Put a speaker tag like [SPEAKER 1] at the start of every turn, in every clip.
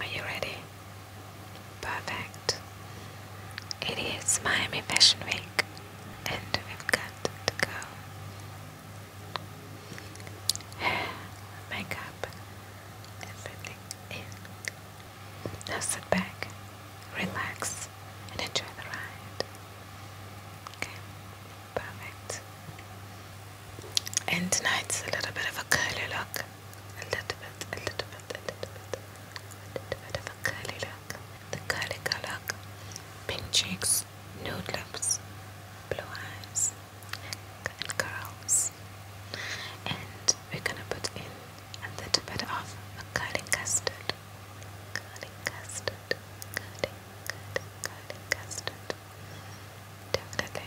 [SPEAKER 1] Are you ready? Perfect. It is Miami Fashion Week, and we've got to go. Hair, makeup, everything in. Now sit back, relax, and enjoy the ride. Okay, perfect and tonight's a little bit of a curly look. A little bit, a little bit, a little bit, a little bit of a curly look. The curly color, pink cheeks, nude lips, blue eyes, and curls. And we're gonna put in a little bit of a curly custard. Curly custard, curly, curly, curly custard. Definitely.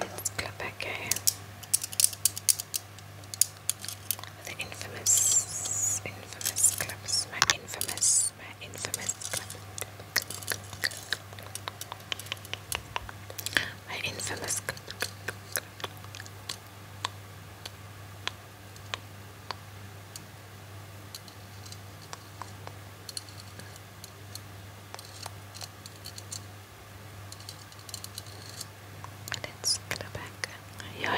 [SPEAKER 1] Let's go back here. The infamous, infamous clubs. My infamous, my infamous club. My infamous Let's go back your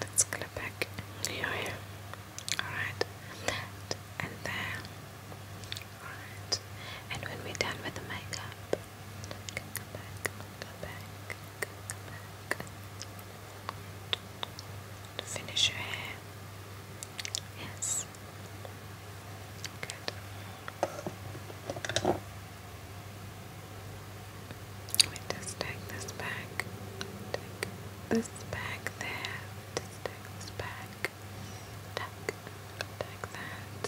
[SPEAKER 1] Let's clip back your Alright, and then and when we're done with the makeup, we can come back, go back, go back. To finish your hair. Yes. Good. We just take this back. Take this back there. Just this back. Take, take that.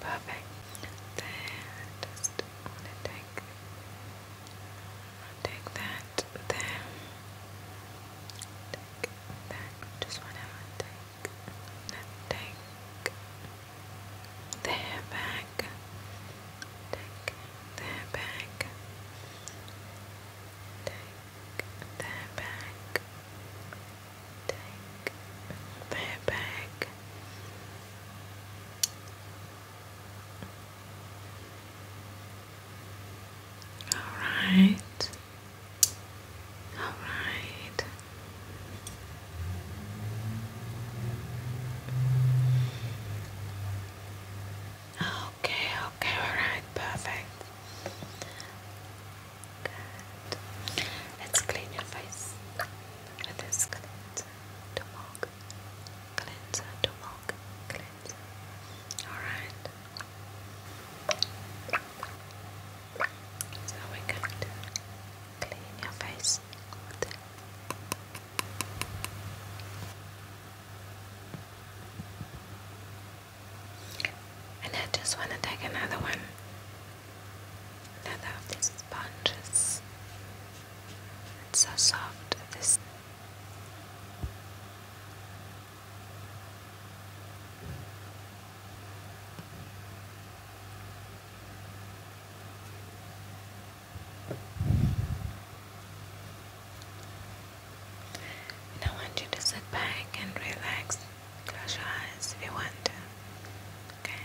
[SPEAKER 1] Perfect. Then just wanna take take that there. Take that. Just wanna take take their bag, take their bag, take their bag, take their bag. All right. All right. Okay, okay, all right, perfect. Good. Let's clean your face with this cleanser to mug. Cleanser to mug. Cleanser. All right. So we're going to clean your face And I just want to take another one, another of these sponges. It's so soft. This. And I want you to sit back and relax. Close your eyes if you want to. Okay.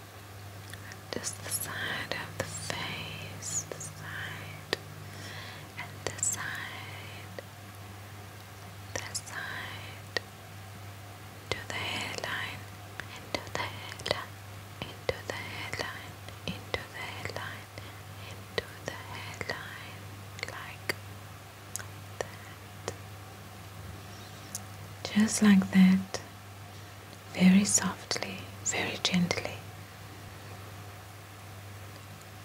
[SPEAKER 1] Just the side of the face, the side, and the side, the side, to the hairline, into the hairline, into the hairline, into the hairline, into the hairline, like that. Just like that very softly, very gently.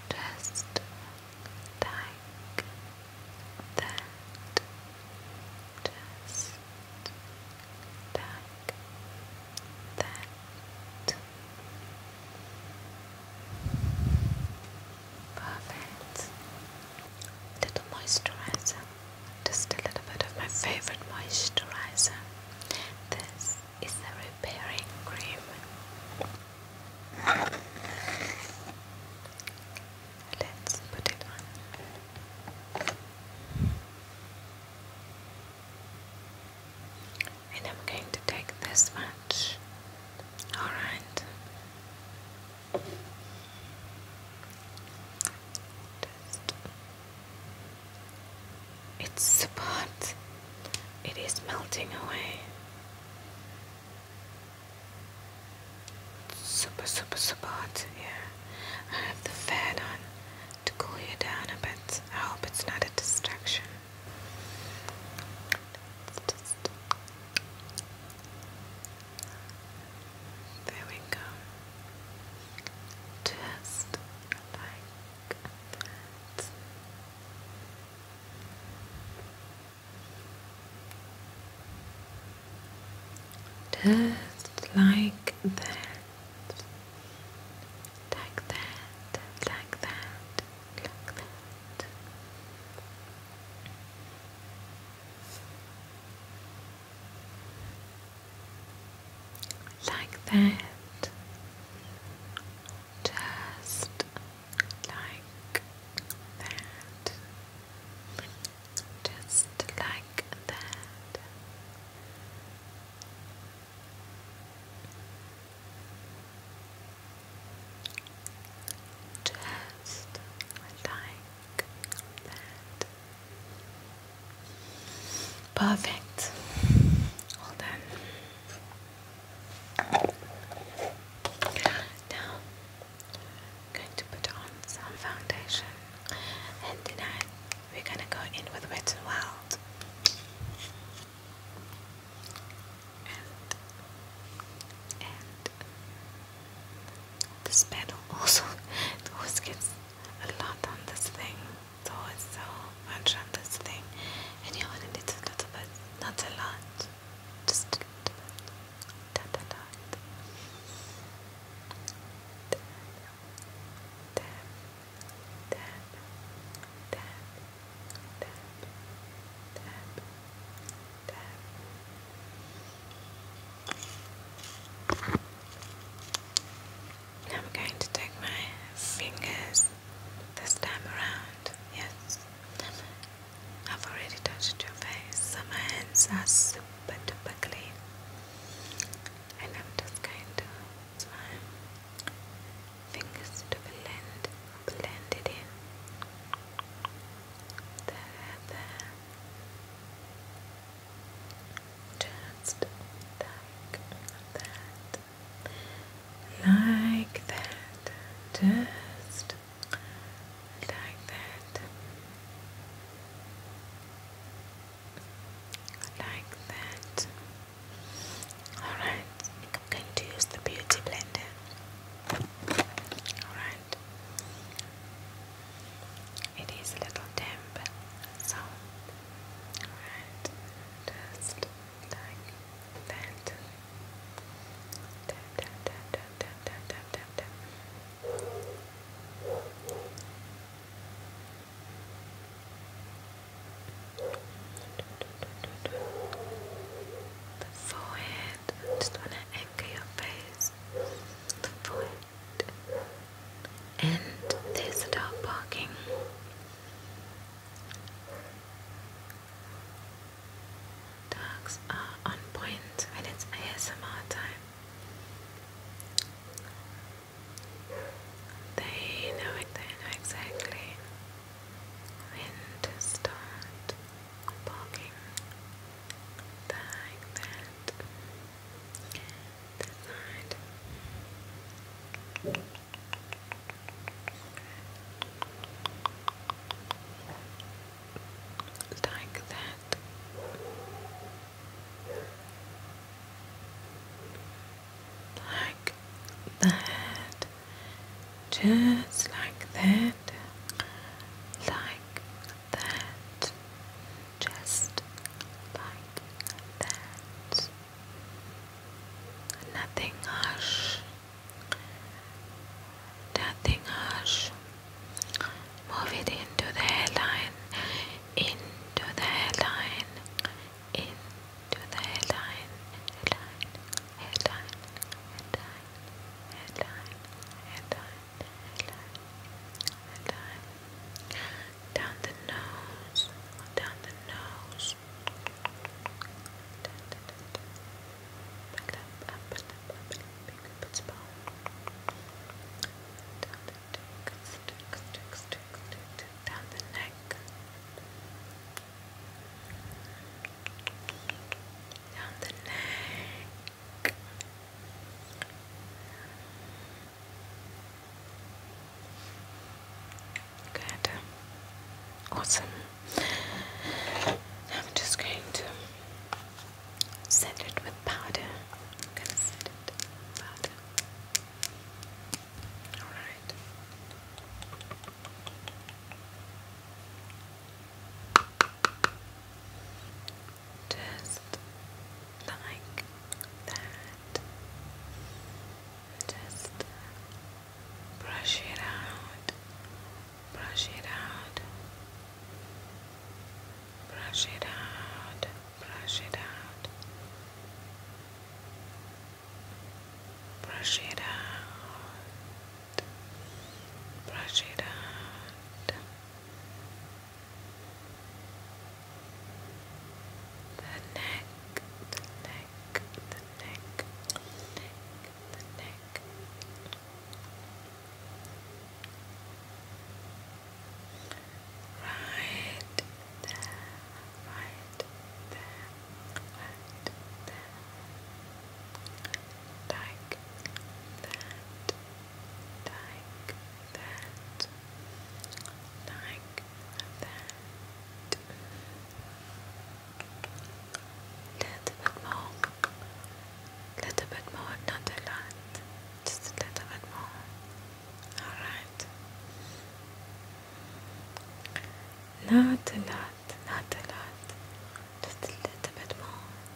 [SPEAKER 1] Just like that. Just that. Perfect little moisturizer, just a little bit of my favorite moisturizer. This is the repairing cream. Let's put it on. And I'm going to take this much. Alright. Dust. It's hot. It is melting away. super, super, super hot. Yeah, I have the fan on to cool you down a bit. I hope it's not a distraction. There we go. Just like that. Just like that. Like that, like that, like that like that, just like that, just like that. Just like that. Perfect. All done. Now, going to put on some foundation, and tonight we're going to go in with Wet Wild. This pedal also always gets a lot on this thing. So It's always so much on this thing. And you only need a little bit, not a lot. Just a little bit. I'm going to take my fingers this time around. Yes, I've already touched your face, so my hands are super duper clean. And I'm just going to use fingers to blend, blend it in. There, there. Just like that. Like that. Just like that. Like that. Alright, I'm going to use the beauty blender. Alright. It is a little damp, so right, just like that. Tap, tap, tap, tap, tap, tap, tap, tap, tap. The forehead, I just want to anchor your face. The forehead and there's a barking. Dogs are on point it's ASMR time. They know it, they know exactly when to start barking like that. That side. Like that. Like that. Just like that. Like that, just like that. Nothing harsh, nothing harsh. Move it into the hairline, into the hairline, into the hairline, hairline, hairline, hairline, hairline, hairline. Down the nose, down the nose. Back up, up, up, up, up, it's bone. Down the neck, stick, stick, stick, stick, down the neck. Down the neck. Good. Awesome. I'm just going to set it with powder. i Alright just like that. Just brush it out, brush it out, brush it out, brush it out, brush it out, brush it out, brush it out. The neck, the neck, the neck, neck, the neck. Right there, right there, right there. Like that like that, like that. Little bit more, little bit more, not a lot, just a little bit more. Alright. Not a lot, not a lot, just a little bit more.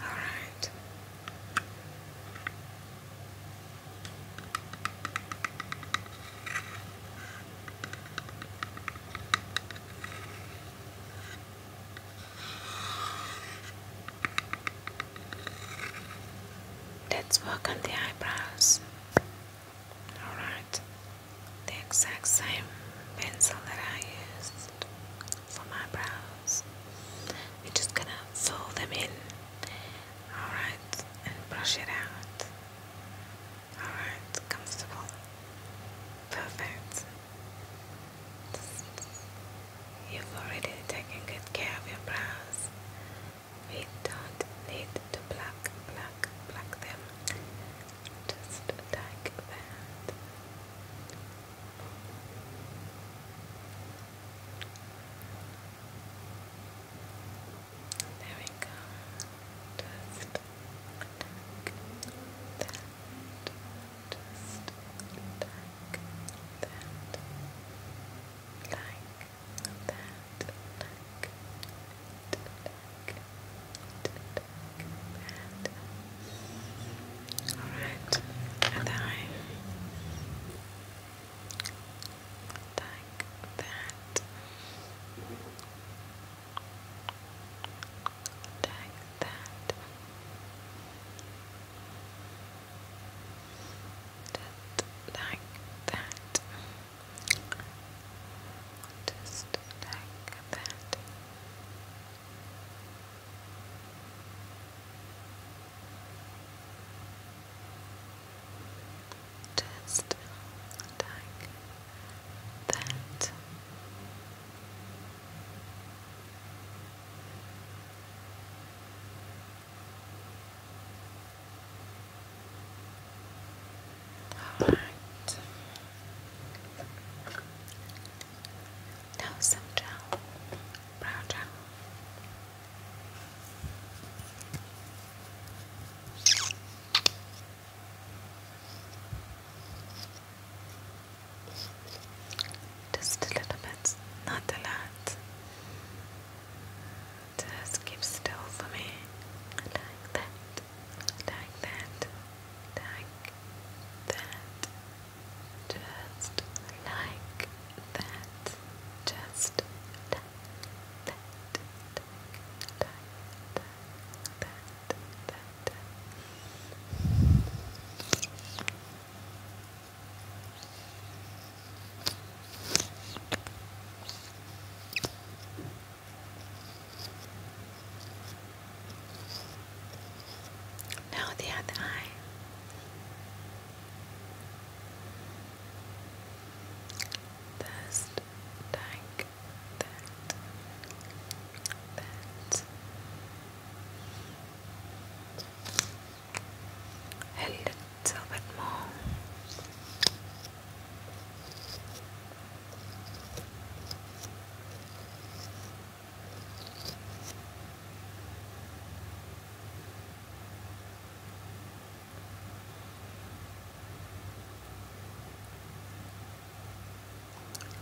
[SPEAKER 1] All right. Let's work on the eyebrows. Alright, the exact same pencil that I used from my brows. We're just gonna fold them in, alright, and brush it out. Alright, comfortable. Perfect. You've already taken good care of your brows. We don't need to pluck, pluck, pluck them. Just like that. There we go. Just attack that. Just that. Like that. Like that. Like that. Alright, and that, like that, just that, just that. Just like that. Just like that. All right. Now some gel, brow gel. Just a little bit, not a lot. Just keep still for me. Like that, like that, like that, just like that. Just like that. Like that. Like that. Like that. Just like that. Now the other eye. First, take that, that. A little bit more.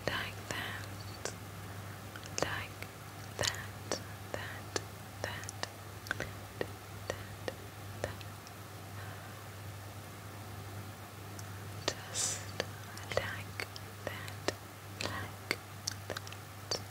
[SPEAKER 1] Like that, like that, that, that, that, that, that. Just like that like that. That, that, that, that.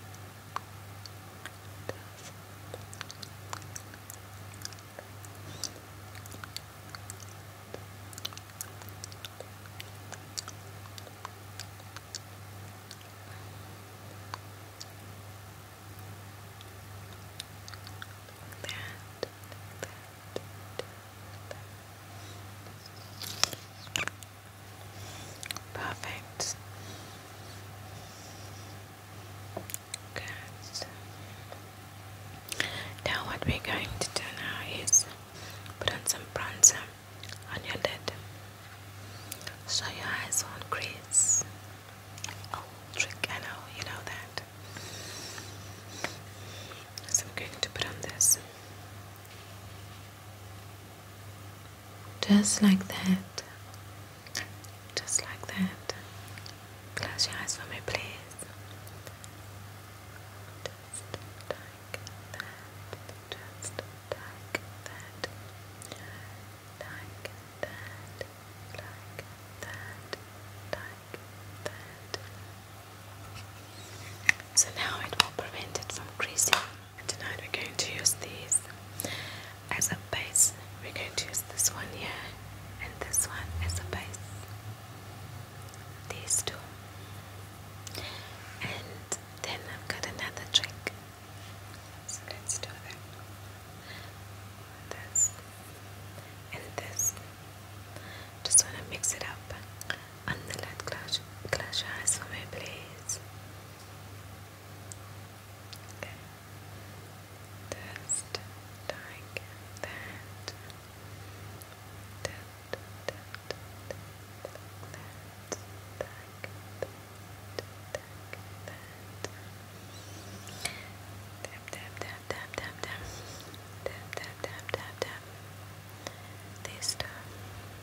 [SPEAKER 1] Perfect. Good. Now what we're going to do now is put on some bronzer on your lid. So your eyes won't crease. Oh, trick, I know, you know that. So I'm going to put on this. Just like that. Just like that. Close your eyes for me, please. Just like that. Just like that. Like that. Like that. Like that. So now it will prevent it from creasing. And tonight we're going to use these as a base. We're going to use this one here and this one as a base. These two. And then I've got another trick. So let's do that. This and this. Just want to mix it up and the light clash, clash your eyes for me, please. Okay. Test, like that. That, that, that, that, that, that, that, tap, tap, tap, tap, tap, tap, tap, tap, tap, tap, this time.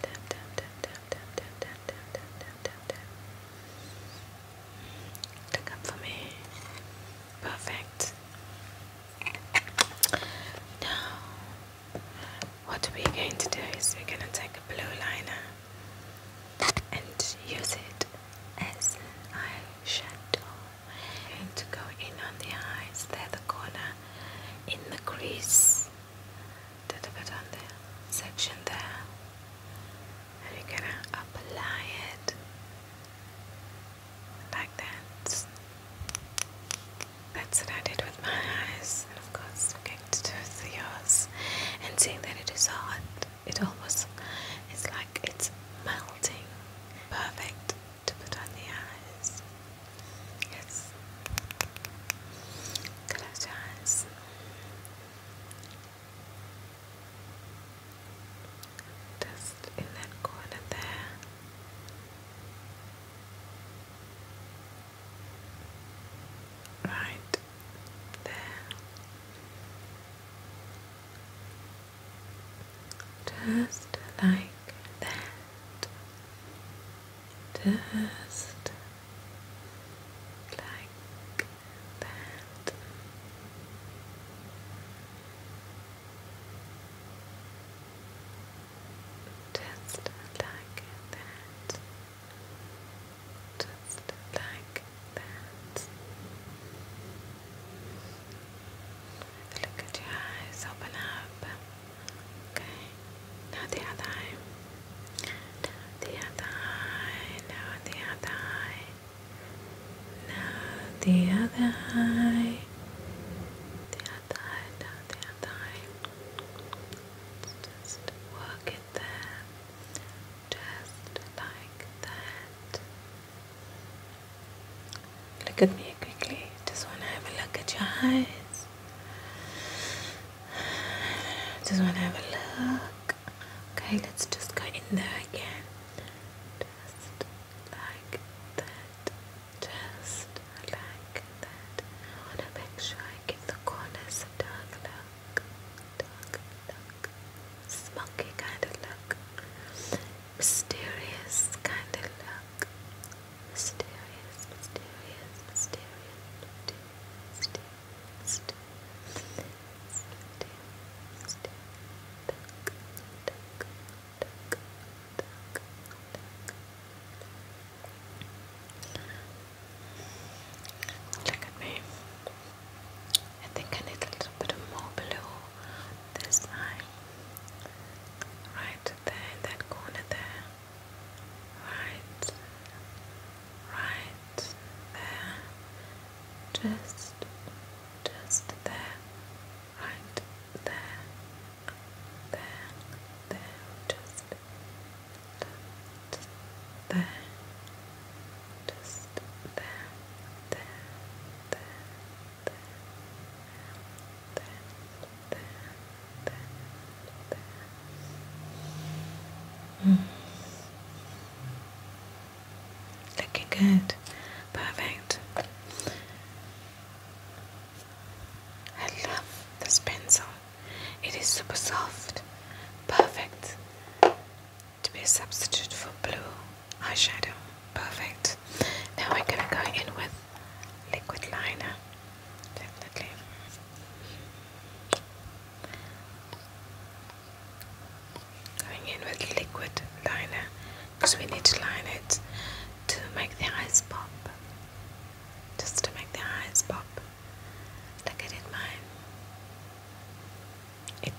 [SPEAKER 1] tap, tap, tap, tap, tap, tap, tap, tap, tap, tap, Look up for me. Perfect. Now, what we're going to do is we're going to take a blue liner and use it as an eyeshadow. we to go in on the eyes, there the corner, in the crease did a on the section there and you're gonna apply it like that that's what I did with my eyes and of course I'm going to do with yours and seeing that it is hot it almost it's like it's melting perfect to put on the eyes yes close your eyes just in that corner there. Right there. Just like that. Just like that. Just like that. Just like that. Look at your eyes, open up. Okay. Now the other eye. Now the other eye. Now the other eye. Now the other eye. The other eye. Now the other eye. Let's just work it there. Just like that. Look at me quickly. Just want to have a look at your eyes. Just want to have a look. Okay, let's just go in there again. Just like that. Just like that. want to make sure I give the corners a dark look. Dark Smoky kind of look. Mysterious kind of look. Mysterious, mysterious, mysterious, mysterious. Look at me. I think I need a little bit more below this eye. Right there in that corner there right, right there, just, just there, right there, there, there, just, just there, just there, there, there, there, there, there, Mm. Looking good. Perfect. I love this pencil. It is super soft. Perfect to be a substitute for blue eyeshadow. Perfect. Now we're gonna go in with liquid liner definitely. Going in with liquid liner because we need to line it to make the eyes pop. Just to make the eyes pop, like I did mine.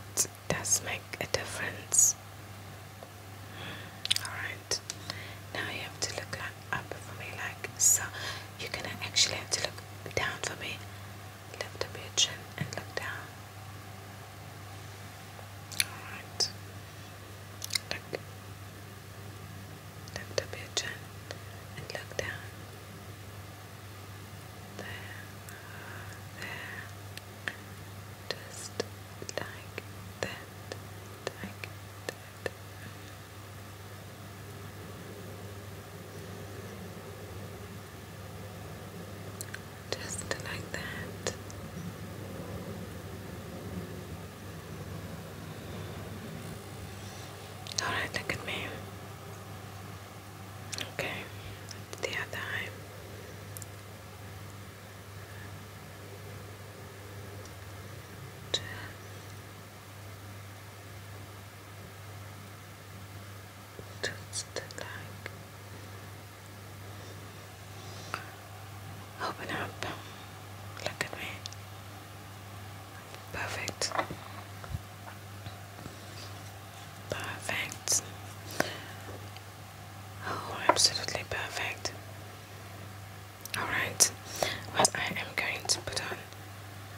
[SPEAKER 1] It does make a difference. Alright, now you have to look up for me like so you're gonna actually have to look down for me lift up your chin and look down alright look lift up your chin and look down there there just like that like that just like that. All right, look at me. Okay, the other eye. Just just like open up. Look at me. Perfect. Perfect. Oh, absolutely perfect. Alright, well, I am going to put on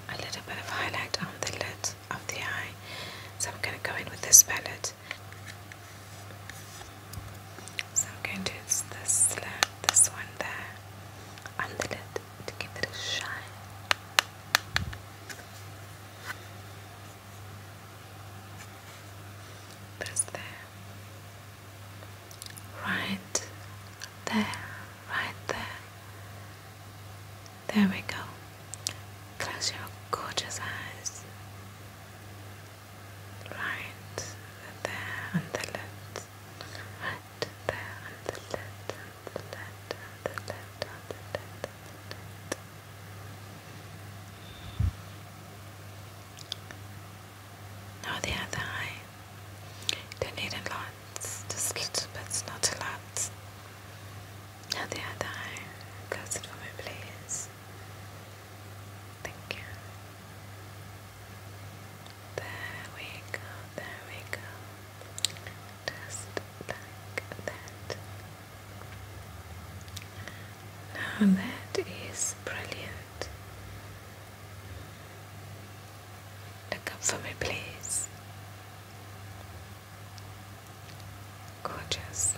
[SPEAKER 1] a little bit of highlight on the lid of the eye. So I'm going to go in with this palette. So I'm going to use this, this one there on the lid to give it a shine. This there right there, right there. There we go. Close your gorgeous eyes. Right there on the lid. Right there on the lid, on the lid, on the lid, on the lid. Now the other eye. Don't need a lot. Just little bits, not a lot. Now the other eye. Close it for me, please. Thank you. There we go. There we go. Just like that. Now that is brilliant. Look up for me, please. Gorgeous.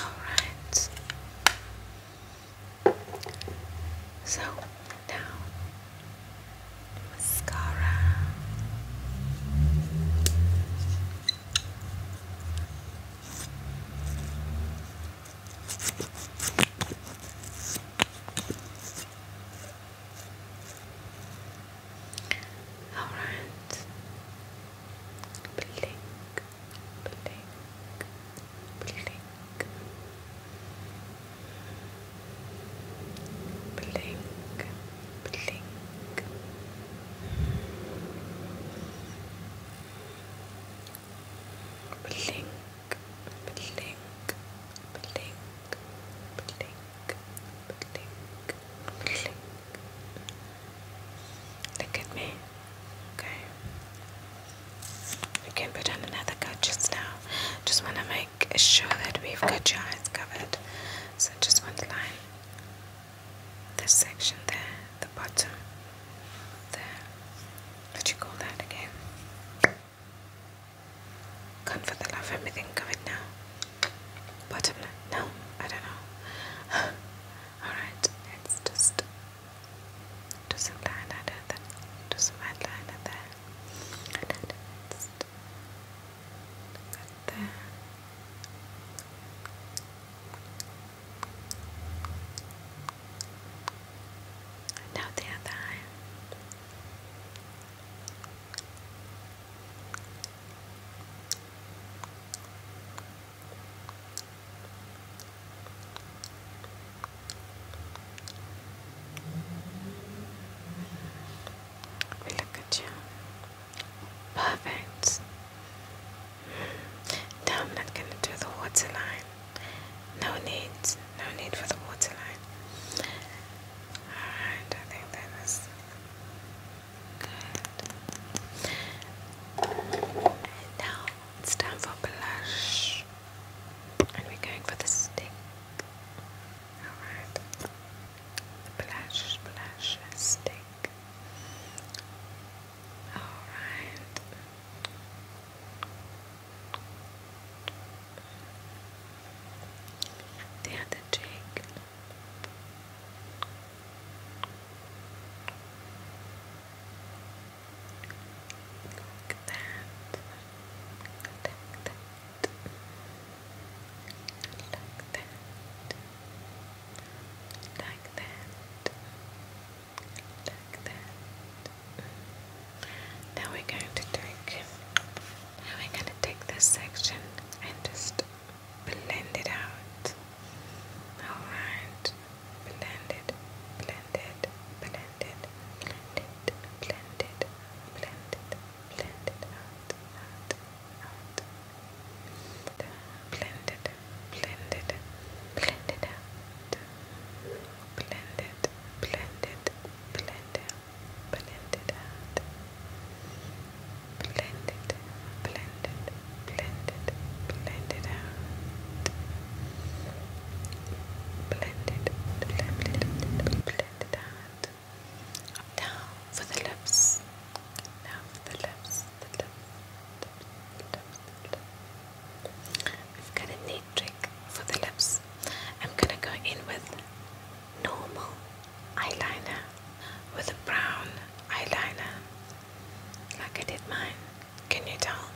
[SPEAKER 1] Alright. So now, mascara. Alright. Blink, blink, blink, blink, blink. Blink, blink, blink, blink, blink. Look at me. Okay. You can put on another coat just now. Just want to make sure that we've got your eyes covered. So just one line. This section there, the bottom, there, let you call that again. Gone for the love, everything covered now. Bottom line, no, I don't know. Alright, let's just do some line under that, do some outline there. And then let's now the other eye. We look at you. Perfect. Now I'm not gonna do the waterline. No need, no need for the water line. I think that is good. And now it's time for blush. And we're going for the stick. Alright. Blush, blush, stick. Alright. Dan and Jake. Look that. Like that. Like that. Like that. Like that. Now we're going to take we're going to take this section and just blend it out. Alright. Blend it, blend it, blend it, blend it, blend it, blend it, blend it out, out, out. Blend it, blend it, blend it out blend it, blend it, blend it, blend it out. Blend it, blend it, blend it, blend it out. Blend it, blend it, blend it out. Now for the lips. Now for the lips, I've got a neat trick for the lips. I'm gonna go in with normal eyeliner with a brown eyeliner like I did mine. Can you tell?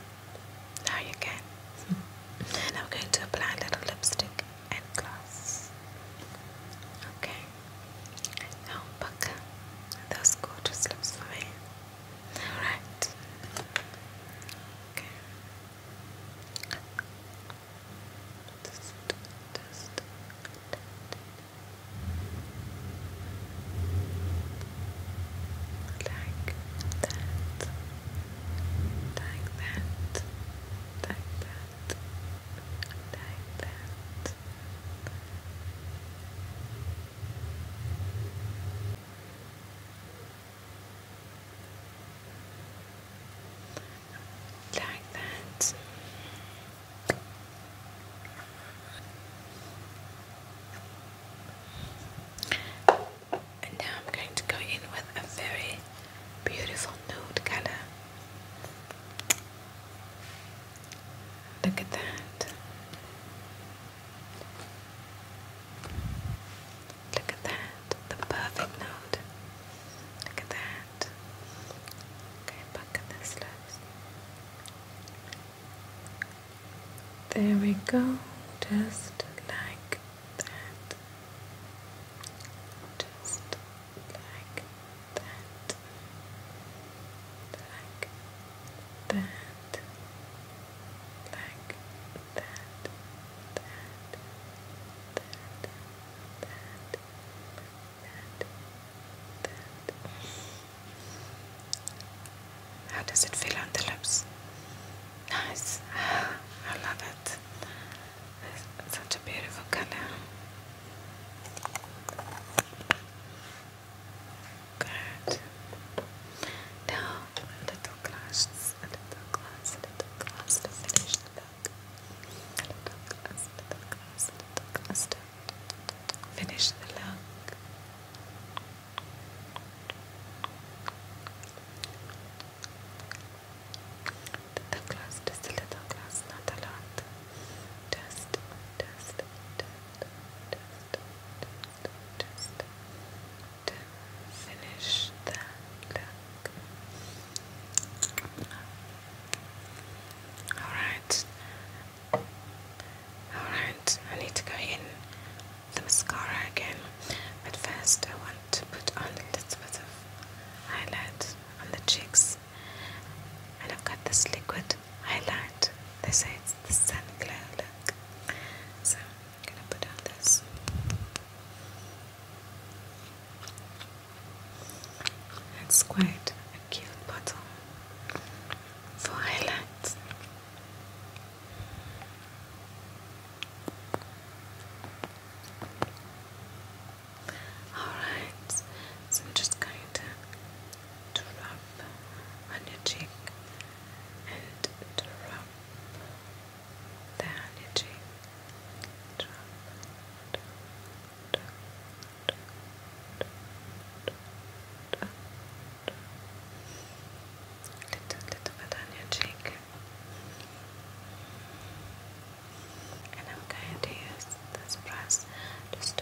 [SPEAKER 1] Now you can. and I'm going to apply a little lipstick and gloss. Okay. Now buckle those gorgeous lips for me. Alright. Okay. Just, just. Like that, like that, like that, like that. Like that. And now I'm going to go in with a very beautiful nude color. Look at that. Look at that, the perfect note. Look at that. Okay, back at this looks. There we go, just like that. Just like that. Like that. How does it feel on the lips? Nice. I love it. It's such a beautiful color. Good. Now a little glass, a little glass, a little glass to the little glass, a little glass, a little glass to finish the Little glass, just a little glass, not a lot. Just, just, just, just, finish that Alright. Alright, I need to go in the mascara again. But first I want to put on a little bit of highlight on the cheeks. And I've got this liquid highlight. They say is sun glare look. So I'm gonna put on this. It's quite a cute bottle for highlights. Alright, so I'm just going to to rub on your cheek and to rub the honey cheek. Rub, rub, rub, rub, rub, rub, rub. Little, little bit on your cheek. And I'm going to use this brush just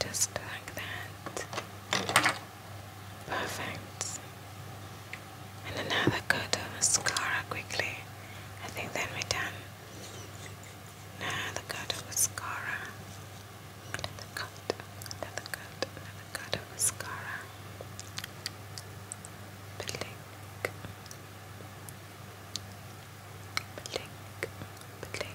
[SPEAKER 1] Just like that. Perfect. And another coat of mascara quickly. I think then we're done. Another coat of mascara. Another coat, another coat, another coat of mascara. Blink blink, blink,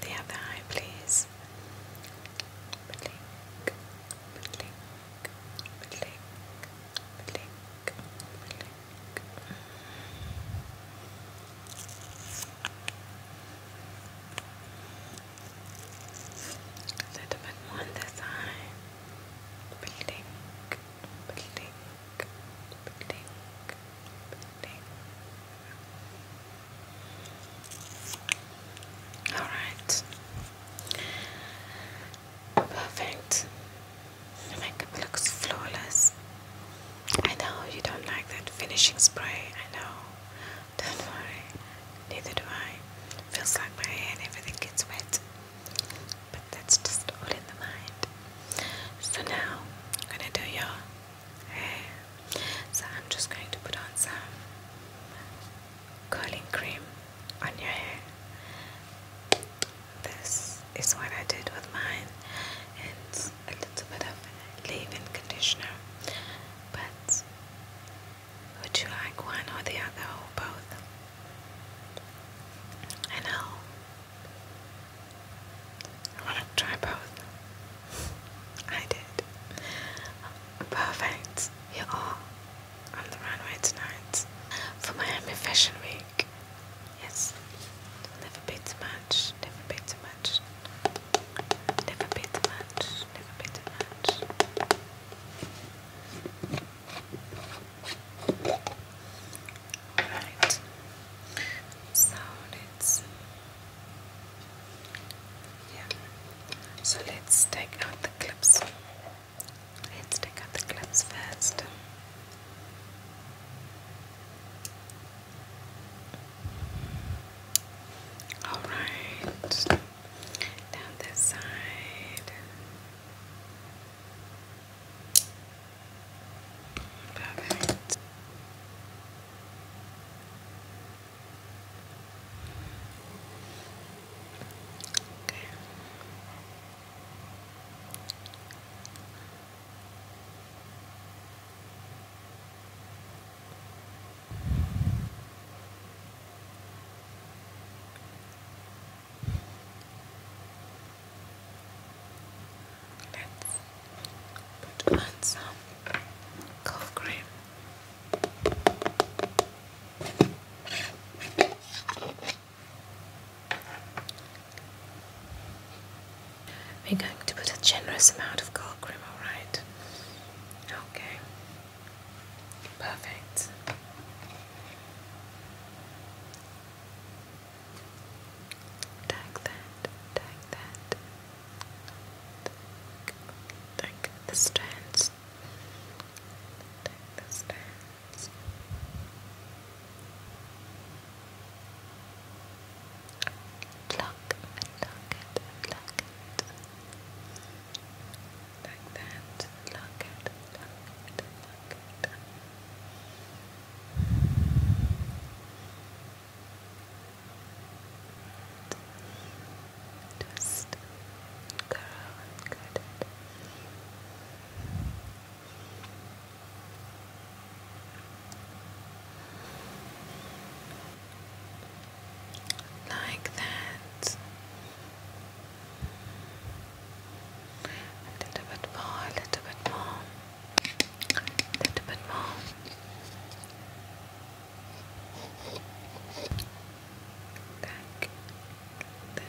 [SPEAKER 1] The other eye, please. Sentiment one this time. All right. Perfect. The makeup looks flawless. I know you don't like that finishing spray. I know. Don't worry, neither do I. Feels like my hair and everything gets wet. But that's just all in the mind. So now, I'm gonna do your hair. So I'm just going to put on some curling cream on your hair. This is what I did with mine a little bit of leave-in conditioner, but would you like one or the other or both? I know. I want to try both. I did. Perfect. You're on the runway tonight for Miami Fashion Week. Yes. Never be too much. Never be too much. Never be too much. Never be too much. Alright. So let's yeah. So let's take out the clips. Let's take out the clips first. All right, down this side. Perfect. Okay. Let's put on some cold cream. We're going to put a generous amount of gold cream, alright? Okay. Perfect. Tag that, tag that. Tag the strands. Tag the strands pluck and pluck it and it. Like that. Pluck it, pluck it, pluck it. Just curl and like that, a little bit more, a little bit more, a little bit more. Back there.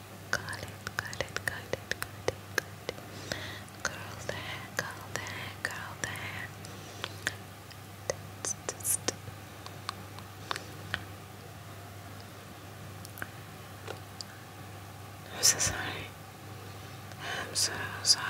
[SPEAKER 1] Got it, got it, got it, got it, got it. Curl the hair, curl the hair, curl the hair. I'm so sorry. I'm so sorry.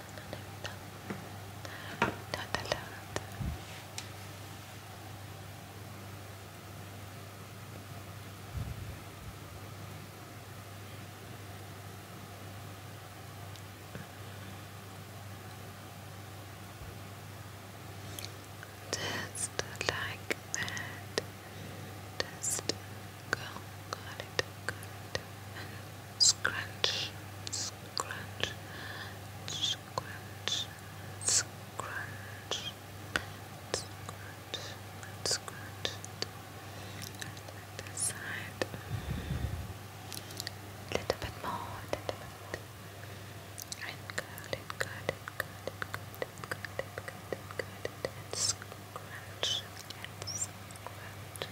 [SPEAKER 1] Just like that. Just go, got it, got it, and scrunch, scrunch, scrunch, scrunch, scrunch, scrunch, and this side, little bit more, little bit, and curl it, curl it, curl it, curl it, curl it, curl it, curl it, and scrunch, and scrunch.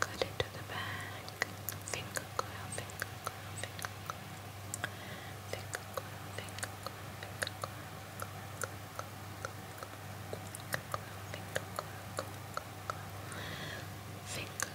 [SPEAKER 1] Cut it to the back. Finger coil, finger coil, finger coil. Finger coil, finger coil, finger coil. Finger coil, finger coil, finger coil. Finger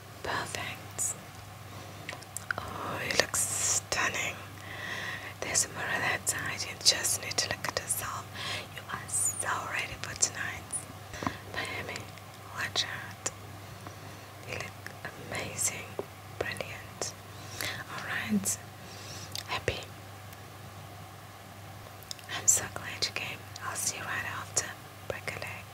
[SPEAKER 1] Perfect. Oh, you look stunning. There's a mirror that side. You just need to look at yourself. You are so ready for tonight. Miami, watch You look amazing. Brilliant. Alright. Happy. I'm so glad you came. I'll see you right after. Break a leg.